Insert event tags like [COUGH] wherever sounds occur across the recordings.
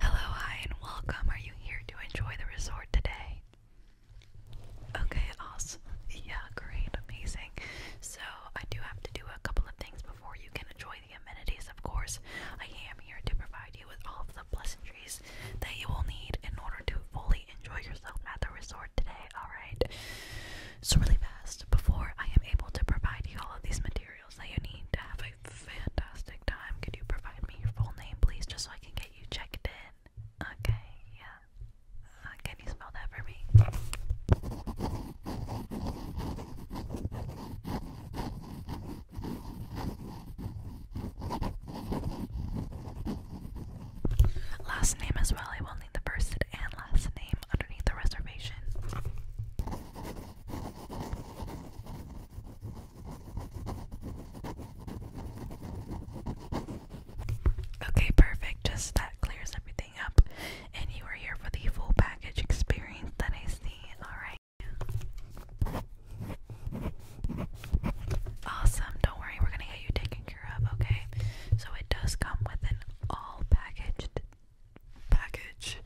Hello, hi, and welcome. Are you here to enjoy the resort today? Okay, awesome. Yeah, great, amazing. So, I do have to do a couple of things before you can enjoy the amenities, of course. I am here to provide you with all of the pleasantries that you will need in order to fully enjoy yourself at the resort today, alright? So, really fast, before I am able to provide you all of these materials, that you need to have a fantastic time. Could you provide me your full name, please, just so I can get you checked in? Okay, yeah. Uh, can you spell that for me? Last name as well. I will need the first and last name underneath the reservation. Okay, perfect. Just that clears everything up. And you are here for the full package experience that I see. Alright. Awesome. Don't worry, we're going to get you taken care of, okay? So it does come with an all packaged package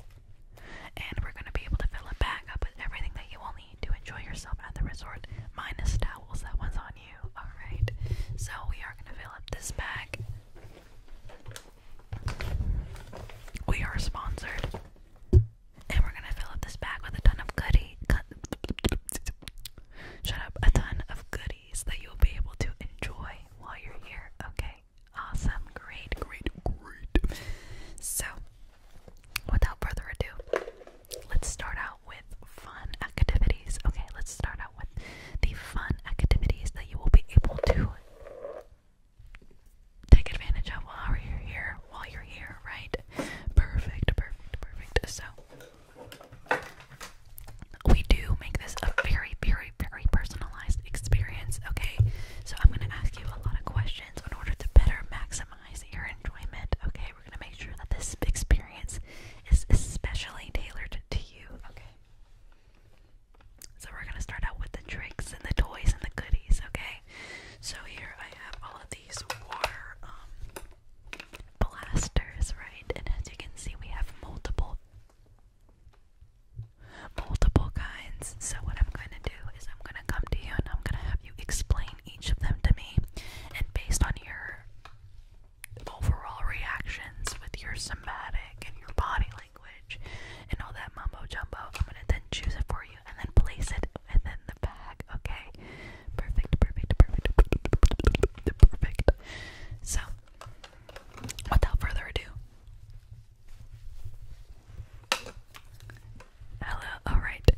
and we're gonna be able to fill it back up with everything that you will need to enjoy yourself at the resort, minus towels, that one's on you. Alright, so we are gonna fill up this bag. We are sponsored. And we're gonna fill up this bag with a ton of goodie. Shut up, a ton of goodies that you'll be able to enjoy while you're here. Okay, awesome, great, great, great. So, without further ado, let's start out with fun activities. Okay, let's start out with the fun activities that you will be able to take advantage of while you're here, while you're here, right? Perfect, perfect, perfect. So we do make this a very, very, very personalized experience, okay? So I'm gonna ask you a lot of questions in order to better maximize your enjoyment. Okay, we're gonna make sure that this experience is especially tailored to you. Okay, so we're gonna start out with the tricks and the toys and the goodies. Okay, so here I have all of these water um, blasters, right? And as you can see, we have multiple. Multiple kinds. So, what I'm going to do is I'm gonna come to you and I'm gonna have you explain each of them to me, and based on your overall reactions with your somatic and your body language and all that mumbo jumbo, I'm gonna then choose it for you and then place it and then the bag. Okay, perfect, perfect, perfect, perfect. So, without further ado, Hello, alright.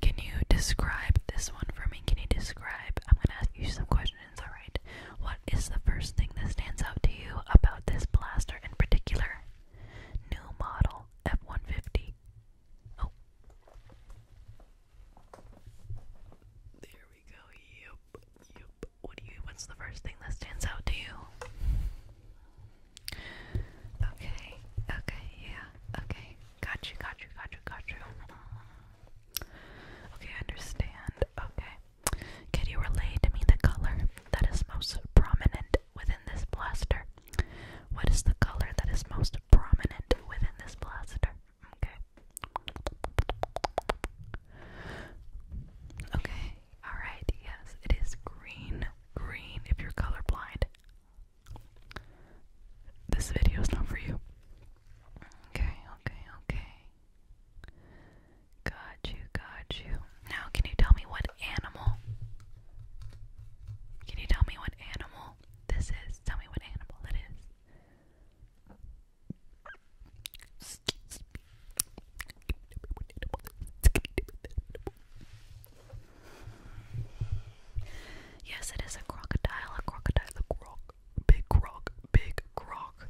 Can you describe this one for me? Can you describe? I'm gonna ask you some questions, alright? What is the first thing that stands out to you about this blaster in particular? New model F 150. Oh. There we go. Yep. Yep. what's the first thing that stands out to you? Okay, okay, yeah, okay. Got you, got you, got you, got you. Okay, I understand. Okay. Can you relay to me the color that is most prominent within this blaster? What is the color that is most prominent within this blaster? Okay. Okay, alright, yes, it is green. Green if you're colorblind. This video is not for you. Okay, okay, okay. Got you, got you. Now, can you tell me what animal? Can you tell me what animal this is? Tell me what animal it is. Yes, it is a crocodile, a crocodile, a croc, big croc, big croc.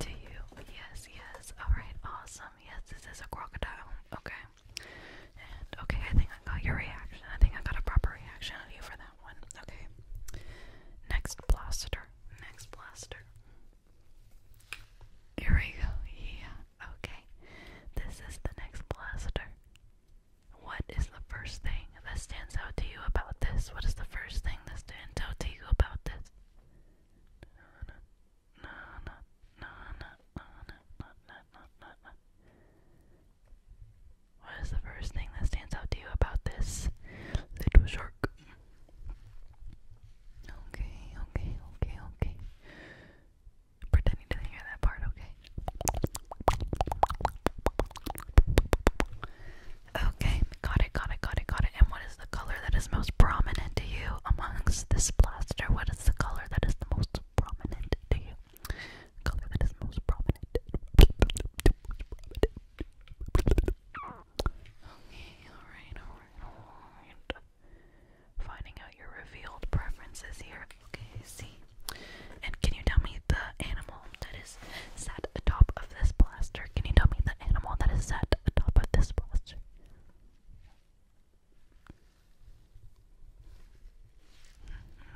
To you, yes, yes. Alright, awesome. Yes, this is a crocodile. Okay. And okay, I think I got your reaction. I think I got a proper reaction out of you for that one. Okay. Next blaster. Next blaster. Here we go. Yeah. Okay this is the next blaster. What is the first thing that stands out to you about this? What is the first thing that stands out to you about this? no, no, no, no, no, no, no, no, no, no. What is the first thing that stands out to you about this little shark? Okay, okay, okay, okay. Pretend you hear that part, okay? Okay, got it, got it, got it, got it. And what is the color that is most prominent to you amongst this plaster? What is the color that is the most prominent to you? Color that is most prominent. Okay, alright, alright, alright finding out your revealed preferences here. Okay, see. And can you tell me the animal that is set atop of this blaster? Can you tell me the animal that is sat atop of this blaster?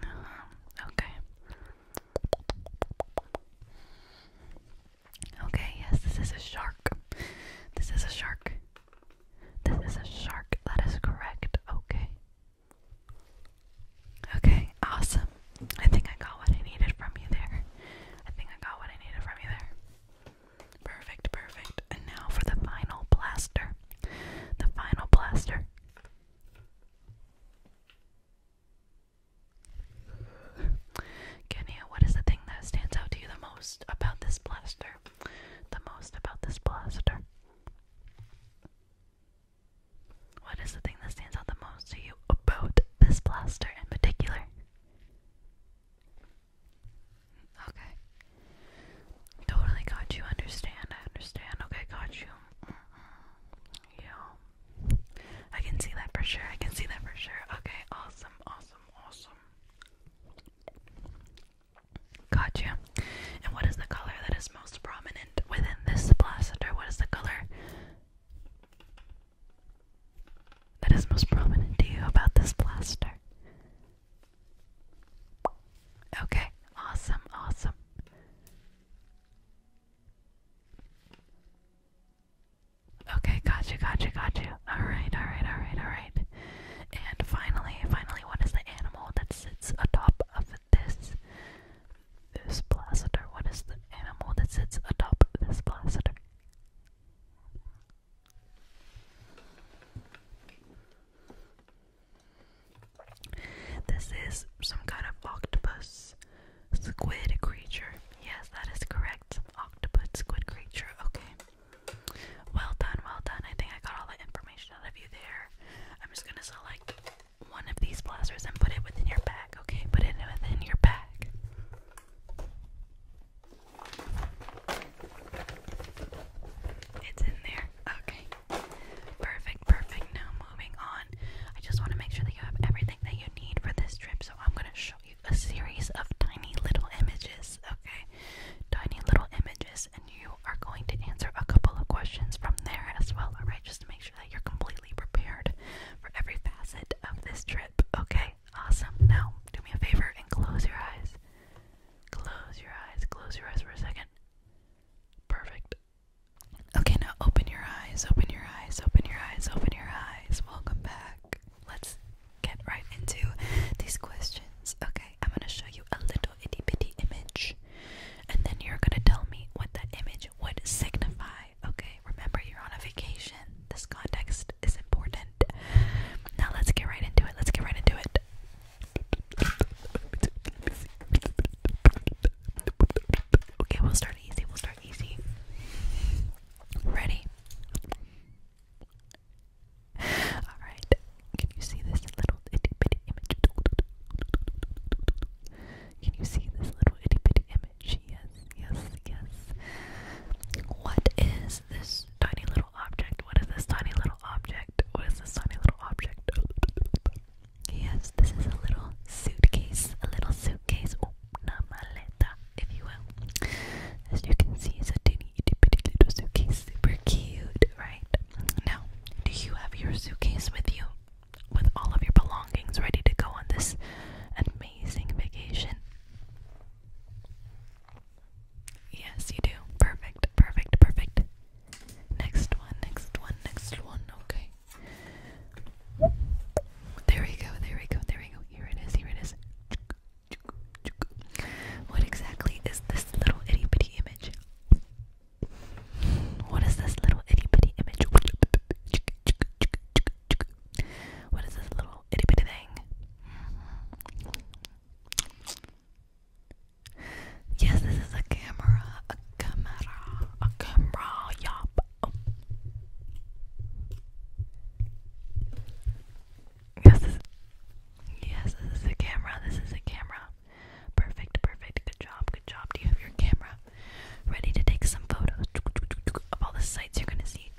Mm-hmm. okay. Okay, yes, this is a shark. This is a shark. This is a shark. That is correct. Okay. Okay, awesome. I think I got what I needed from you there. I think I got what I needed from you there. Perfect, perfect. And now for the final blaster. The final blaster. Kenya, what is the thing that stands out to you the most about this blaster? the most about this blaster? What is the thing that stands out the most to you about this blaster in particular? Okay. Totally got you. Understand. I understand. Okay, got you. Mm-hmm. Yeah. I can see that for sure. I can see that for sure. Okay, awesome, awesome, awesome. Gotcha. And what is the color that is most prominent within this plaster? What is the color that is most prominent to you about this plaster? Okay, awesome, awesome. Okay, got you, got you, got you. Alright, alright, alright, alright. And finally, finally, what is the animal that sits atop of this this placidar? What is the animal that sits atop this placidar? This is some kind of octopus squid creature. Yes, that is correct. Octopus squid creature. Okay. Well done, well done. I think I got all the information out of you there. I'm just gonna select one of these blasters and put it within your bag, okay? Put it within your bag. It's in there. Okay. Perfect, perfect. Now moving on. I just want to make sure that you have everything that you need for this trip, so I'm gonna show you a series of tiny little images, okay? Tiny little images, you are going to answer a couple of questions from there as well, alright? Just to make sure that you're completely prepared for every facet of this trip, okay? Awesome. Now, do me a favor and close your eyes. Close your eyes, close your eyes for a second. Perfect. Okay, now open your eyes, open your eyes, open your eyes, open your eyes. Welcome back. Let's get right into these questions, okay? I'm gonna show you a little itty bitty image, and then you're gonna tell me what that image would signify. Okay, remember you're on a vacation. This context is important. Now let's get right into it. Let's get right into it. Okay, we'll start easy. We'll start easy. Ready? [LAUGHS] Alright, can you see this little itty image? Can you see this little itty image? Yes, yes, yes. What is this tiny little object? What is this tiny little object? What is this tiny little object? Yes, this is a little suitcase, a little suitcase, una maleta, if you will. As you can see, it's a teeny itty bitty little suitcase. Super cute, right? Now, do you have your suitcase with you? With all of your belongings ready to go on this amazing vacation? Yes, you do. Perfect, perfect, perfect. Next one, next one, next one. Okay. There we go, there we go, there we go. Here it is, here it is. What exactly is this little itty bitty image? What is this little itty bitty image? What is this little itty bitty thing? Yes, this is a camera. A camera. A camera. Yup. Yes, yes, this is a camera. This is a camera. Perfect, perfect. Good job, good job. Do you have your camera ready to take some photos of all the sights you're gonna see?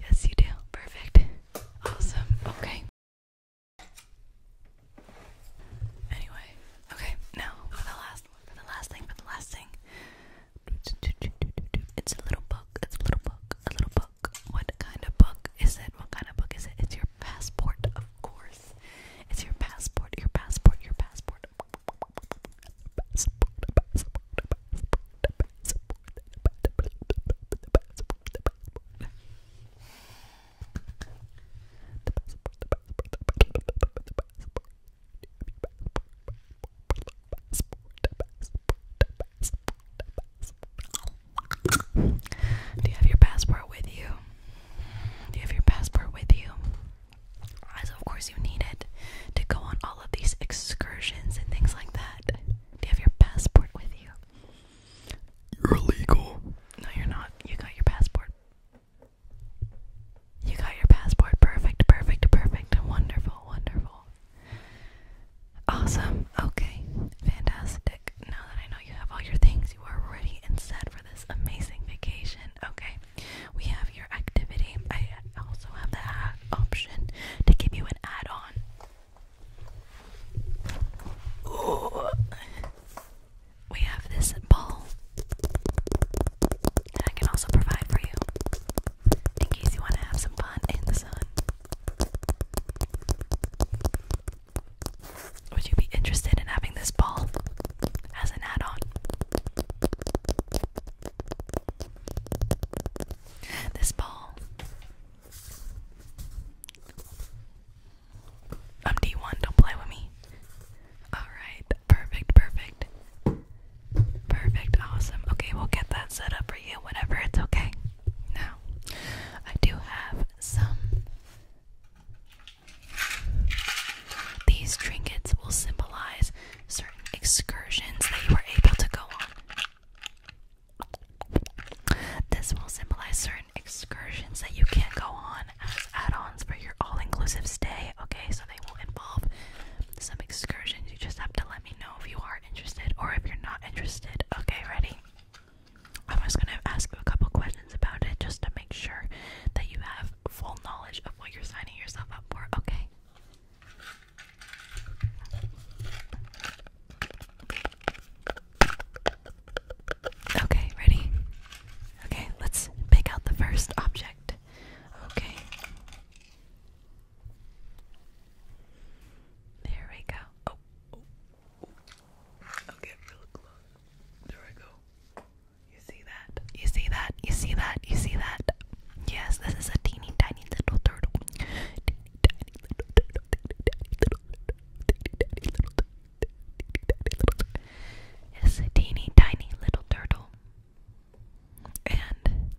Yes, you do. Perfect. Awesome. Okay. Anyway, okay. Now for the last for the last thing, for the last thing. It's a little book. It's a little book a little book. What kind of book is it? What kind of book is it? It's your passport, of course. It's your passport, your passport, your passport, do you have your passport with you? Do you have your passport with you? As of course you need it to go on all of these excursions and things like that. Do you have your passport with you? You're illegal. No, you're not. You got your passport. You got your passport. Perfect, perfect, perfect. Wonderful, wonderful. Awesome. Okay. Fantastic. Now that I know you have all your things, you are ready and set for this amazing vacation. Okay. We have your activity. I also have the option to give you an add on. We have this ball that I can also provide for you in case you want to have some fun in the sun. Would you be interested in having this ball as an add on? This ball. I'm um, D1, don't play with me. Alright, perfect, perfect. Perfect, awesome. Okay, we'll get that set up for you whenever it's okay. Now, I do have some. These trinkets will symbolize certain excursions that you were able to go on. This will symbolize certain excursions that you can go on as add ons for your all inclusive stay. Okay, so they will involve some excursions. You just have to let me know if you are interested or if you're not interested. Okay, ready? I was gonna ask you a couple questions about it just to make sure that you have full knowledge of what you're signing yourself up for, okay? Okay, ready? Okay, let's pick out the first object. Okay. There we go. Oh, oh. Okay, really close. There I go. You see that? You see that? You see that? You see that? Yes, this is a Teeny tiny little turtle. It's a teeny tiny little turtle. And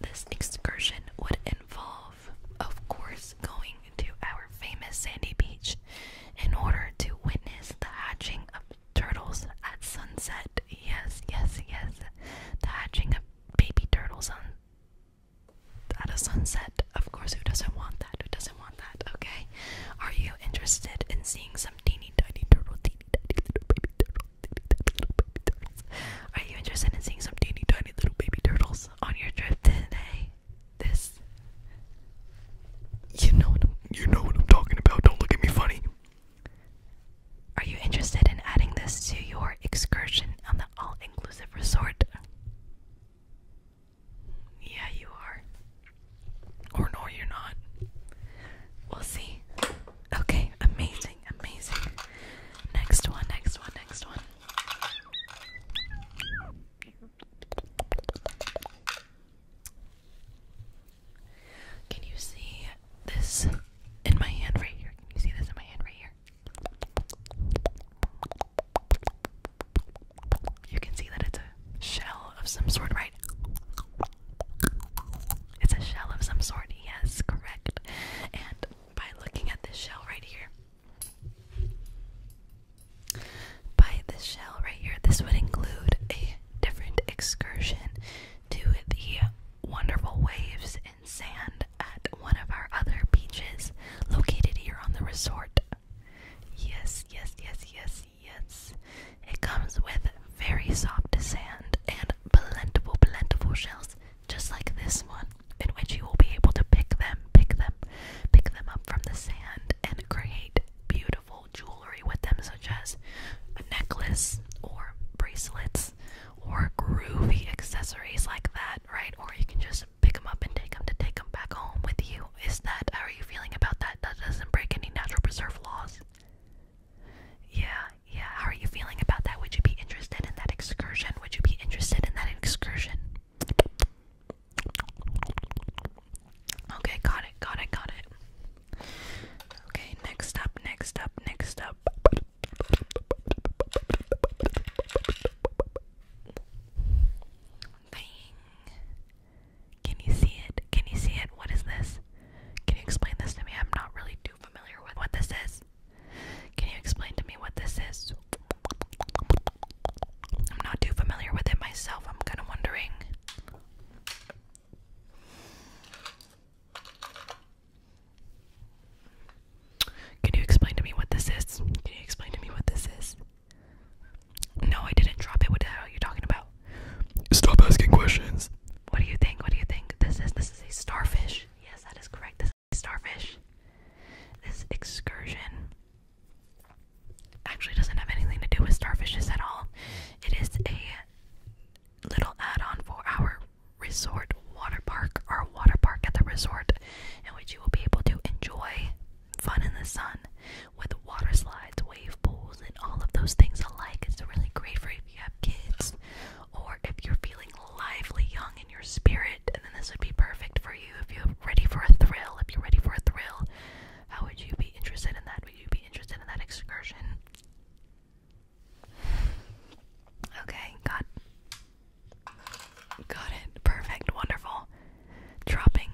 this excursion would involve of course, going to our famous sandy beach in order to witness the hatching of turtles at sunset. Yes, yes, yes. The hatching of baby turtles at a sunset. Of course, who doesn't want that? Who doesn't want that? Okay. Are you interested in seeing some teeny tiny turtle, turtles? Are you interested in seeing some teeny tiny little baby turtles? on your trip today. This, you know what I'm, you know what I'm talking about. Don't look at me funny. Are you interested in adding this to your excursion on the all-inclusive resort? Yeah, you are. Or no, you're not. We'll see. Okay, amazing, amazing. Next one, next one, next one. Can you see this in my hand right here? Can you see this in my hand right here? You can see that it's a shell of some sort, right? It's a shell of some sort, yes, correct. And by looking at this shell right here, by this shell right here, this would include a different excursion to the wonderful waves and sand at one of our other beaches located here on the resort. Yes, yes, yes, yes, yes. It comes with very soft sand and plentiful, plentiful shells just like this one, in which you will be able to pick them, pick them, pick them up from the sand and create beautiful jewelry with them, such as a necklace or bracelets or groovy accessories like that, right? Or you can just pick them up and take them to take them back home with you. Is that how are you feeling about that? That doesn't break any natural preserve laws. Yeah, yeah. How are you feeling about that? Would you be interested in that excursion? Would you be interested in that excursion? Okay, got it, got it, got it. Okay, next up, next up, next up. Bang. Can you see it? Can you see it? What is this? Can you explain this to me? I'm not really too familiar with what this is. Can you explain to me what this is? I'm not too familiar with it myself. I'm kind of wondering. Can you explain to me what this is? Can you explain to me what this is? No, I didn't drop it. What the hell are you talking about? Stop asking questions. What do you think? What do you think? This is this is a starfish. Yes, that is correct starfish. This excursion actually doesn't have anything to do with starfishes at all. It is a little add on for our resort water park, our water park at the resort, in which you will be able to enjoy fun in the sun with water slides, wave pools, and all of those things alike. It's really great for if you have kids or if you're feeling lively, young, in your spirit, and then this would be perfect for you if you're ready for a thrill. If you're ready for a thrill, how would you be interested in that? Would you be interested in that excursion? Okay, got got it. Perfect, wonderful. Dropping.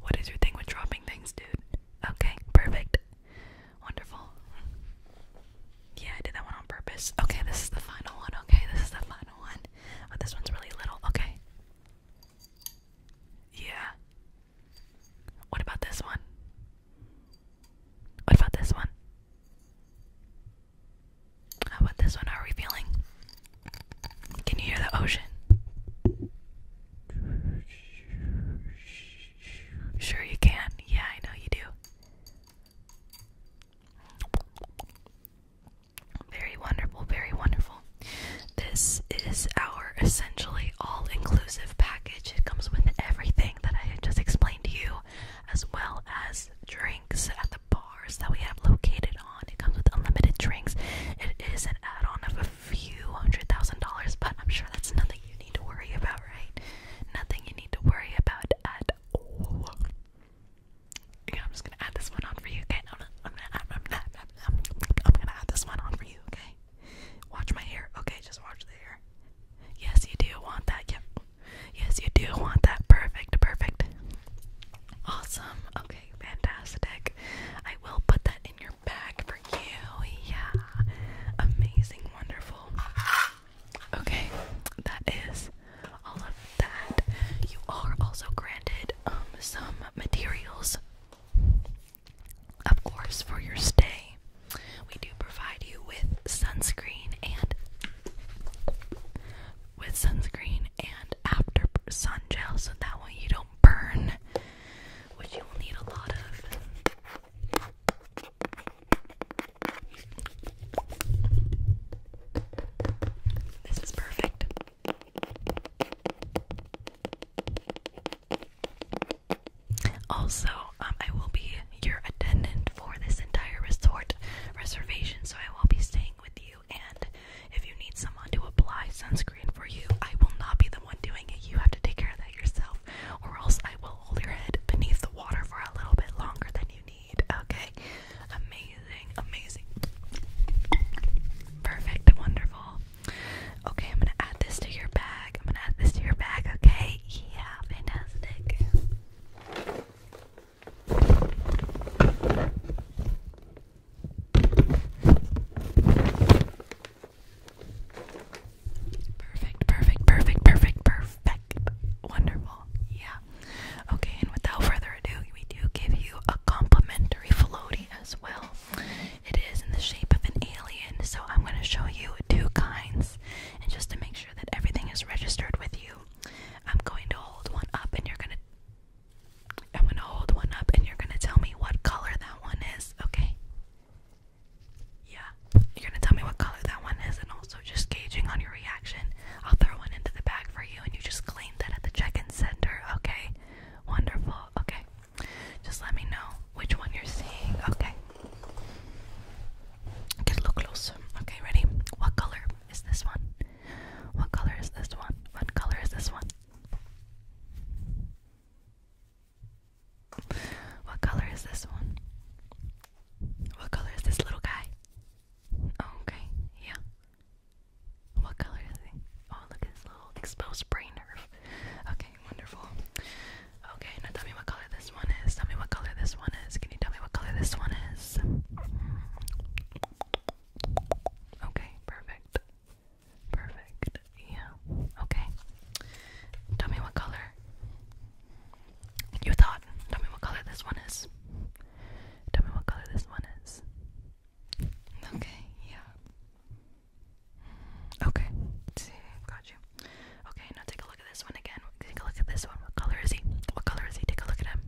What is your thing with dropping things, dude? Okay, perfect. Wonderful. Yeah, I did that one on purpose. Okay, this is the final one. Okay, this is the final one it. Oh, this one's really little. Okay. Yeah. What about this one? What about this one? How about this one? How are we feeling? Can you hear the ocean? Sure, you can. Yeah, I know you do. Very wonderful, very wonderful. This is our essentially all inclusive package. It comes with everything that I just explained to you, as well as drinks at the bars that we have located on. It comes with unlimited drinks. It is an add on of a few hundred thousand dollars, but I'm sure that's nothing you need to worry about, right? Nothing you need to worry about at all. Yeah, I'm just gonna add this one on for you, okay? i I'm gonna, i I'm gonna, I'm gonna add this one on for you, okay? Watch my hair, okay? Just watch the hair. Yes, you do want that. Yep. Yes, you do want that. Perfect, perfect. Awesome. Okay, fantastic. I will put that in your bag for you. Yeah. Amazing, wonderful. Okay, that is all of that. You are also granted um, some materials, of course, for your stay. We do provide you with sunscreen and with sunscreen and after sun gel, so that way you don't burn, which you will need a lot of. This is perfect. Also, um, I will be your attendant for this entire resort reservation, so I will be staying with you. And if you need someone to apply sunscreen for you, I will not be the one doing it. You have to take care of that yourself, or else I will hold your head beneath the water for a little bit longer than you need. Okay. Amazing. Amazing. Perfect. Wonderful. Okay, I'm gonna add this to your bag. I'm gonna add this to your bag, okay? Yeah, fantastic. Perfect, perfect, perfect, perfect, perfect. Wonderful. Yeah. Okay, and without further ado, we do give you a complimentary floaty as well. It is in the shape of an alien, so I'm going to show you two kinds. And just to make sure that everything is registered with you, I'm going to hold one up and you're going to I'm going to hold one up and you're going to tell me what color that one is, okay? Yeah. You're going to tell me what color that one is and also just gauging on your reaction I'll throw one into the bag for you and you just claim that at the check-in center, okay? Wonderful. Okay. Just let me know which one you're seeing. Okay. Get a little closer. Okay, ready? What color is this one? What color is this one? What color is this one? What color is this one? What color is this little guy? Okay, yeah. What color is he? Oh, look at his little exposed brain nerve. Okay, wonderful. Okay, now tell me what color this one is. Tell me what color this one is. Can you tell me what color this one is? Okay, perfect. Perfect. Yeah. Okay. Tell me what color. You thought Tell me what color this one is. Tell me what color this one is. Okay, yeah. Okay. See, got you. Okay, now take a look at this one again. Take a look at this one. What color is he? What color is he? Take a look at him.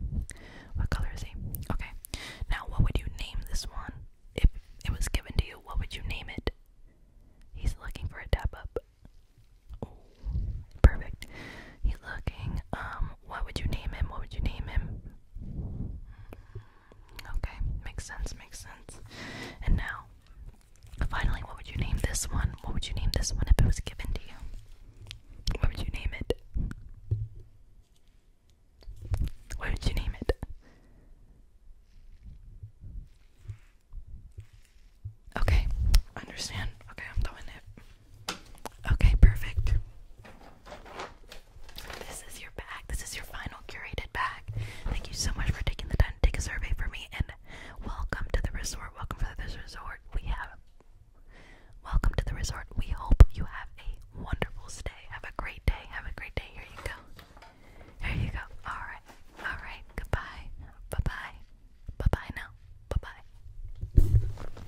What color is he? Okay. Now, what would you name this one? If it was given to you, what would you name it? He's looking for a tap up. perfect. He's looking um what would you name him? What would you name him? Okay, makes sense, makes sense. And now, finally, what would you name this one? What would you name this one if it was given to you? What would you name it? What would you name it? Okay, understand. Okay, i it. Okay, perfect. This is your bag. This is your final curated bag. Thank you so much for taking the time to take a survey for me and welcome to the resort. Welcome to this resort. We have Welcome to the resort. We hope you have a wonderful stay. Have a great day. Have a great day. Here you go. Here you go. All right. All right. Goodbye. Bye-bye. Bye-bye now. Bye-bye.